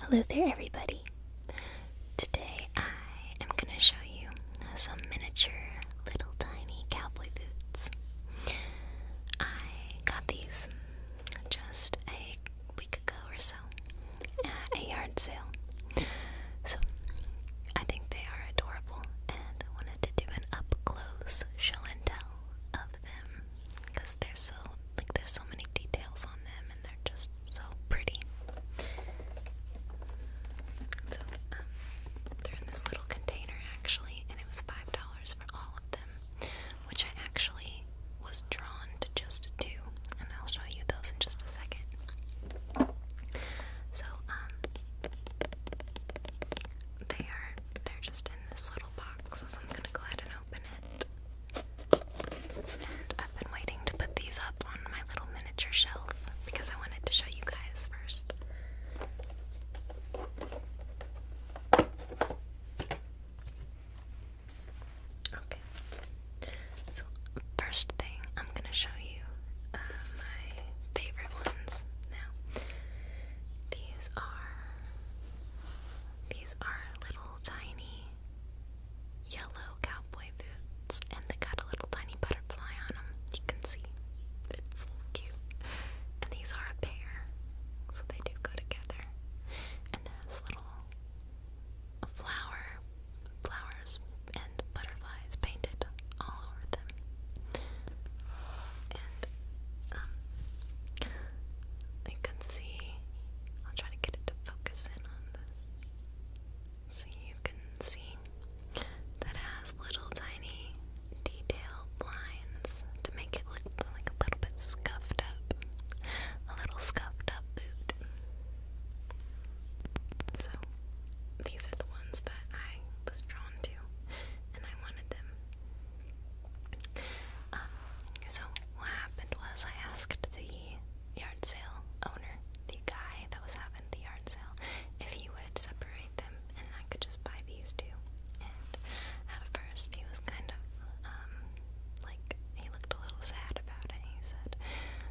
Hello there, everybody. Today I am going to show you some miniature little tiny cowboy boots. I got these just a week ago or so at a yard sale. So I think they are adorable and I wanted to do an up close show and tell of them because they're so like there's so many details on them and they're just so pretty. So um, they're in this little container actually, and it was five dollars for all of them, which I actually was drawn to just two, and I'll show you those in just a second. So um, they are they're just in this little box, so I'm gonna go ahead and open. I've been waiting to put these up on my little miniature shelf because I wanted to show you guys first. Okay. So, first thing, I'm going to show you uh, my favorite ones now. These are these are little little tiny yellow cowboy boots, and they got a little tiny butterfly on them. You can see it's cute. And these are a pair, so they do go together. And there's little flower, flowers, and butterflies painted all over them. And um, can see I'll try to get it to focus in on this. So you can see that it has little tiny detailed lines to make it look like a little bit scuffed up. A little scuffed up boot. So these are the ones that I was drawn to and I wanted them um, so what happened was I asked the yard sale owner, the guy that was having the yard sale, if he would separate them and I could just buy these two. And at first he was kind of um like he looked a little sad about it. He said,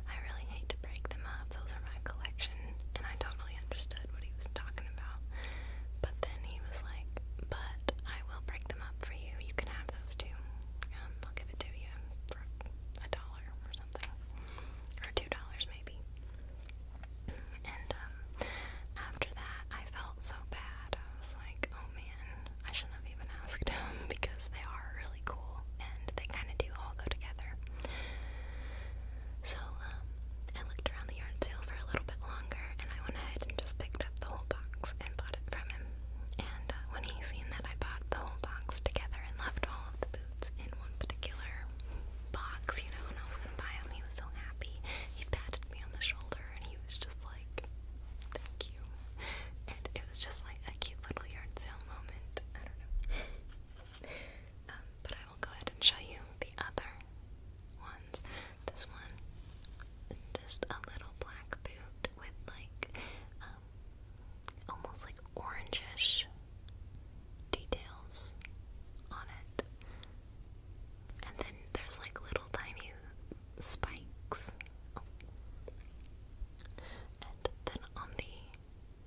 I really hate to break them up, those are my collection and I totally understood what he was talking about. But then he was like, But I will break them up for you. You can have those too. I'll um, give it to you for a dollar or something, or two dollars maybe. And um, after that, I felt so bad. I was like, oh man, I shouldn't have even asked him because they are really cool and they kind of do all go together. So um, I looked around the yard sale for a little bit longer, and I went ahead and just picked up the whole box and bought it from him. And uh, when he seen that I bought the whole box together and left all of the boots in one particular box, you know, and I was gonna buy them, he was so happy. He patted me on the shoulder, and he was just like, "Thank you." And it was just like a cute little yard sale moment. I don't know. um, but I will go ahead and show you the other ones. This one, just a little black boot with like um, almost like orangish details on it. And then there's like little tiny spikes. And then on the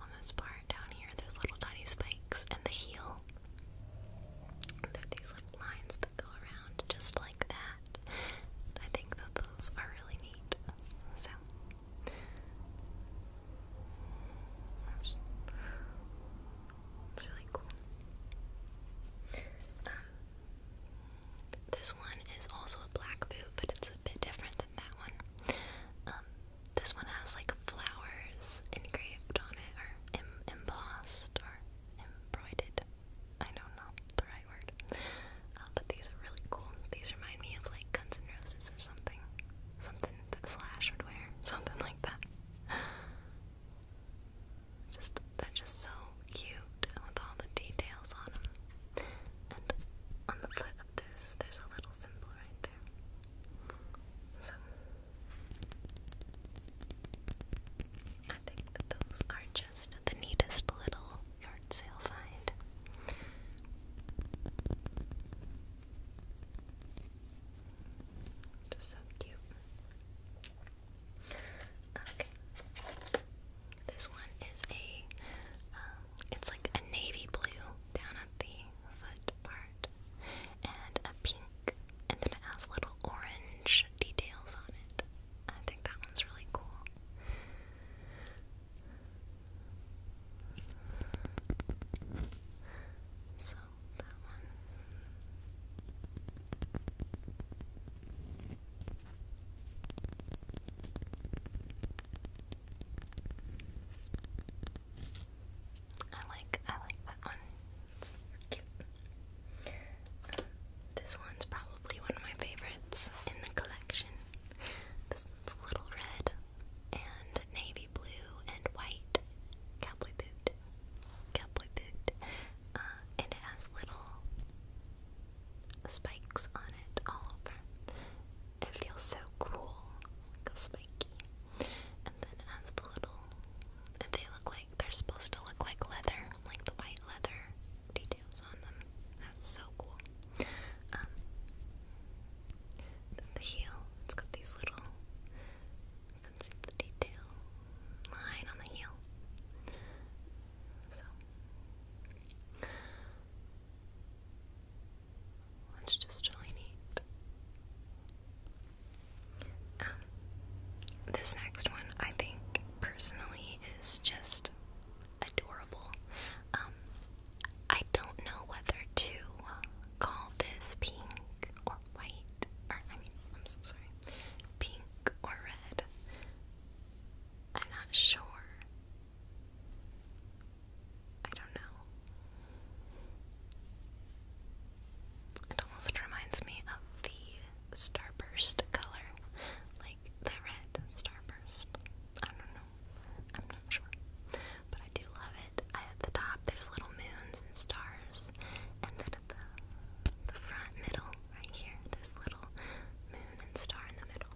on this part down here, there's little tiny spikes, and the heel. There are these lines that go around just like that. I think that those are really neat. So that's, really cool. Um, this one is also a black boot, but it's a bit different than that one. Um, this one has like flowers engraved on it, or embossed, or embroidered, I don't know the right word. Uh, but these are really cool. These remind me of like Guns N' Roses or something. Something that Slash would wear. Something like that. Just they just so cute with all the details on them. And on the foot of this, there's a little symbol right there. So I think that those are just the neatest little yard sale find. Just so cute. Okay. This one is a, um, it's like a navy blue down at the foot part, and a pink and then it has little orange details on it. I think that one's really cool. So, that one. I like I like that one. It's cute this one's probably one of my favorites in the collection. This one's little red and navy blue and white cowboy boot. Cowboy boot. Uh, and it has little spikes on it all over. It feels so cool, like spiky. And then it has the little, they look they're supposed to look like leather, like the white leather details on them. That's so cool. Um, the heel, it's got these little, you can see the detail line on the heel. So, that's just really neat. Um, this next one, I think personally, is just adorable. Um, I don't know whether to call this pink or white, or I mean, I'm so sorry, pink or red. I'm not sure. I don't know. It almost reminds me of the starburst color, like the red starburst. I don't know. I'm not sure. But I do love it. At the top, there's little moons and stars, and then at the the front middle, right here, there's little moon and star in the middle.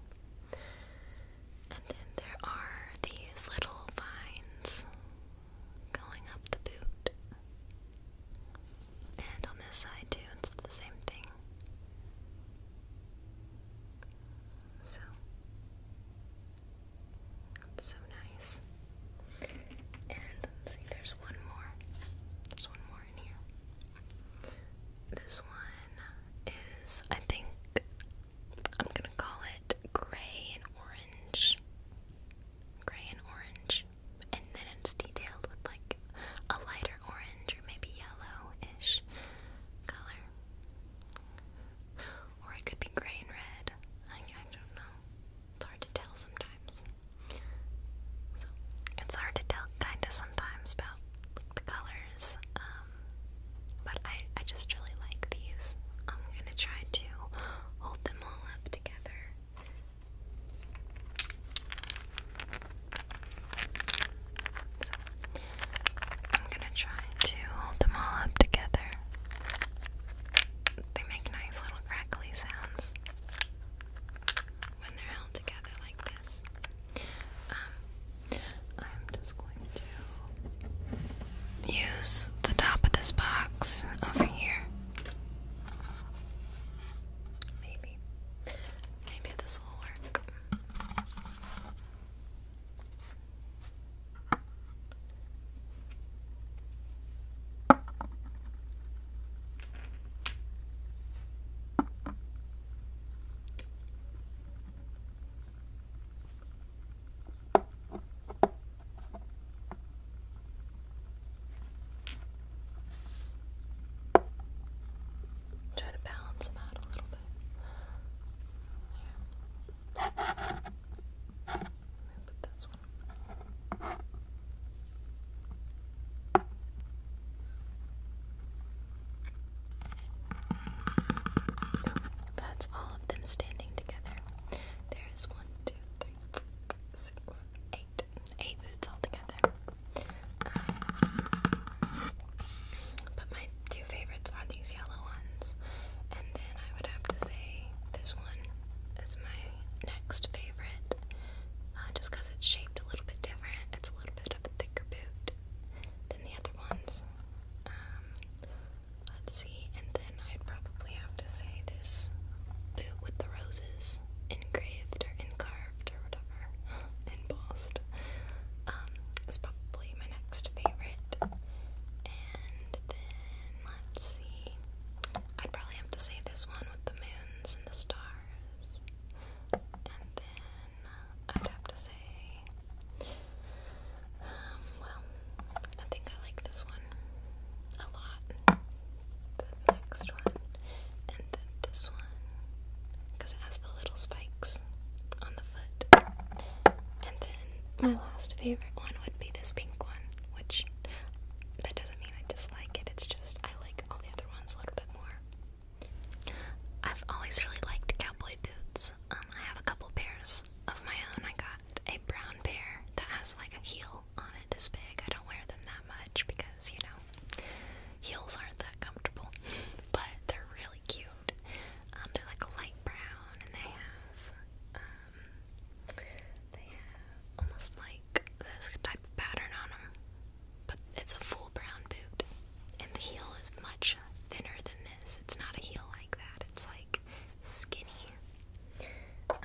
And then there are these little vines going up the boot. And on this side, too, it's the same thing. So, so nice. And see, there's one more. There's one more in here. This one is, I think, I'm gonna call it gray and orange. Gray and orange and then it's detailed with like a lighter orange or maybe yellow color. Or it could be gray and red. I, don't know. It's hard to tell sometimes. So it's hard to tell kind of sometimes about the colors. Um, but I, I just really like these. I'm gonna try to hold them all up together I'm gonna try to hold them all up together. They make nice little crackly sounds when they're held together like this. Um, I'm just going to use the top of this box over here Maybe. Maybe this will work. Try to balance them out a little bit. There. put this one. That's all of them standing together. There's one, two, three, four, five, six, eight, boots altogether. Um, but my two favorites are these yellow ones, and then I would have to say this one is my next favorite, uh, just because it's shaped a little bit different. It's a little bit of a thicker boot than the other ones. Um, let's see, and then I'd probably have to say this boot with the roses engraved or incarved or whatever, embossed, um, probably my next favorite. And then, let's see, I'd probably have to say this one with the moons and the stars. And then, uh, I'd have to say, um, well, I think I like this one a lot the next one, and then this one because it has the little spikes on the foot. And then my last favorite one would be this pink one, which that doesn't mean I dislike it, it's just I like all the other ones a little bit more. I've always really liked cowboy boots. Um, I have a couple pairs of my own. I got a brown pair that has like a heel on it this big. I don't wear them that much because, you know, heels aren't that comfortable. But they're really cute. Um, they're like a light brown and they have um, they have almost like this type pattern on them. But it's a full brown boot. And the heel is much thinner than this. It's not a heel like that. It's like skinny um,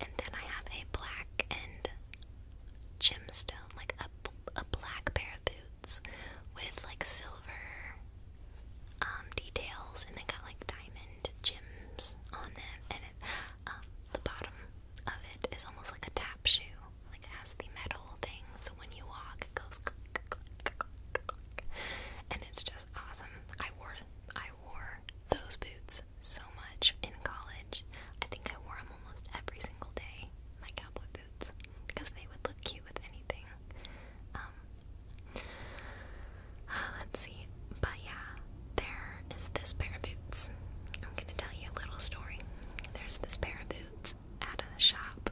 and then I have a black and gemstone, like a, a black pair of boots with like silver um, details, and they got like diamond gems on them. And it, um, the bottom of it is almost like a tap shoe, like it has the metal thing, so when you walk, it goes click, click, click, click, and it's just awesome. I wore I wore those boots so much in college. I think I wore them almost every single day, my cowboy boots, because they would look cute with anything. Um, let's see. But yeah, there is this pair of boots. I'm gonna tell you a little story. There's this pair of boots out of the shop.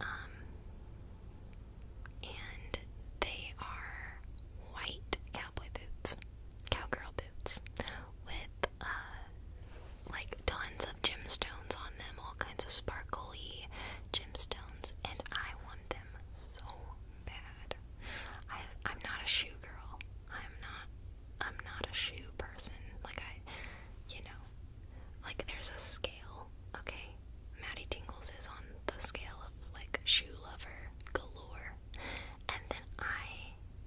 Um, and they are white cowboy boots cowgirl boots with uh, like tons of gemstones on them, all kinds of sparkly gemstones, and I want them so bad. I, I'm not a shoe girl. I'm not. I'm not a shoe person. Like I, you know, like there's a scale. Okay, Maddie Tingles is on the scale of like shoe lover galore, and then I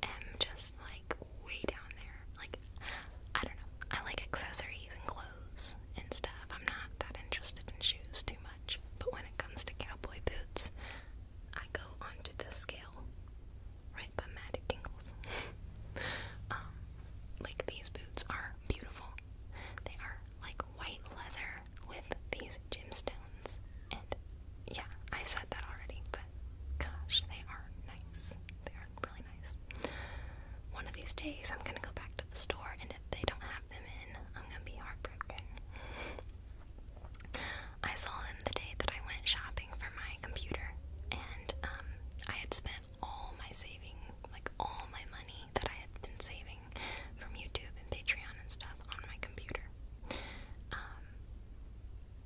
am just like way down there. Like, I don't know. I like accessories and clothes and stuff. I'm not that interested in shoes too much. But when it comes to cowboy boots, I go onto the scale right by Maddie Tingles. um, like, these boots are beautiful. They are like white leather with these gemstones. And yeah, I said that already, but gosh, they are nice. They are really nice. One of these days, I'm gonna go back to the store, and if they don't have them in, I'm gonna be heartbroken. I saw them the day that I went shopping for my computer, and um, I had spent all my saving, like all my money that I had been saving from YouTube and Patreon and stuff, on my computer. Um,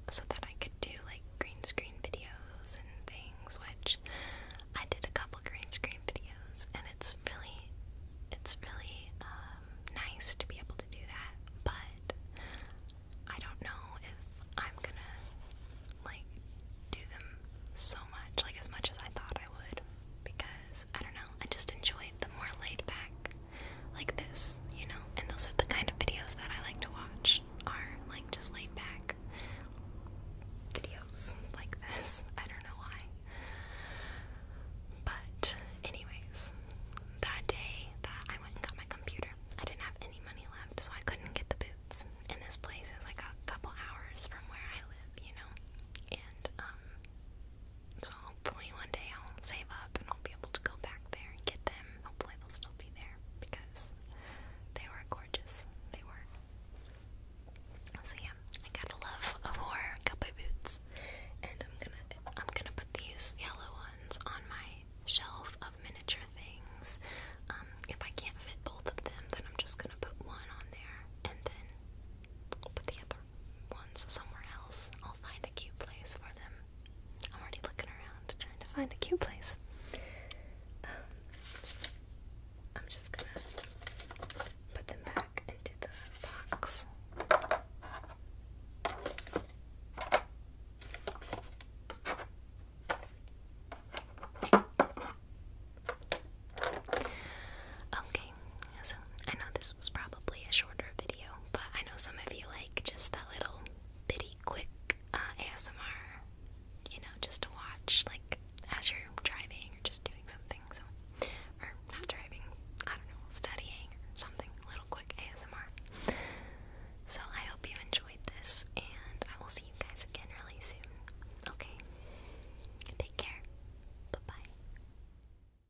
so that I could do like green screen videos and things, which I did a couple green screen videos, and it's really, it's really um, nice to be able to do that. But I don't know if I'm gonna like do them so much, like as much as I thought I would, because. I don't know, I just enjoy the more laid back like this, you know. And those are the kind of videos that I like to watch are like just laid back videos like this. I don't know why. But anyways, that day that I went and got my computer, I didn't have any money left, so I couldn't get the boots. And this place is like a couple hours from where I live, you know. And um so hopefully one day I'll save up and I'll be able to go back there and get them. Hopefully they'll still be there because they were gorgeous. They were. So yeah, I got a love of horror cowboy boots, and I'm gonna I'm gonna put these yellow ones on my shelf of miniature things. Um, if I can't fit both of them, then I'm just gonna put one on there and then put the other ones somewhere else. I'll find a cute place for them. I'm already looking around trying to find a cute place. Um, I'm just gonna put them back into the box. Okay, so I know this was probably a shorter video, but I know some of you like just that little bitty quick uh, ASMR, you know, just to watch, like as you're driving or just doing something, so, or not driving, I don't know, studying or something, a little quick ASMR. So I hope you enjoyed this, and I will see you guys again really soon. Okay, take care. Bye bye.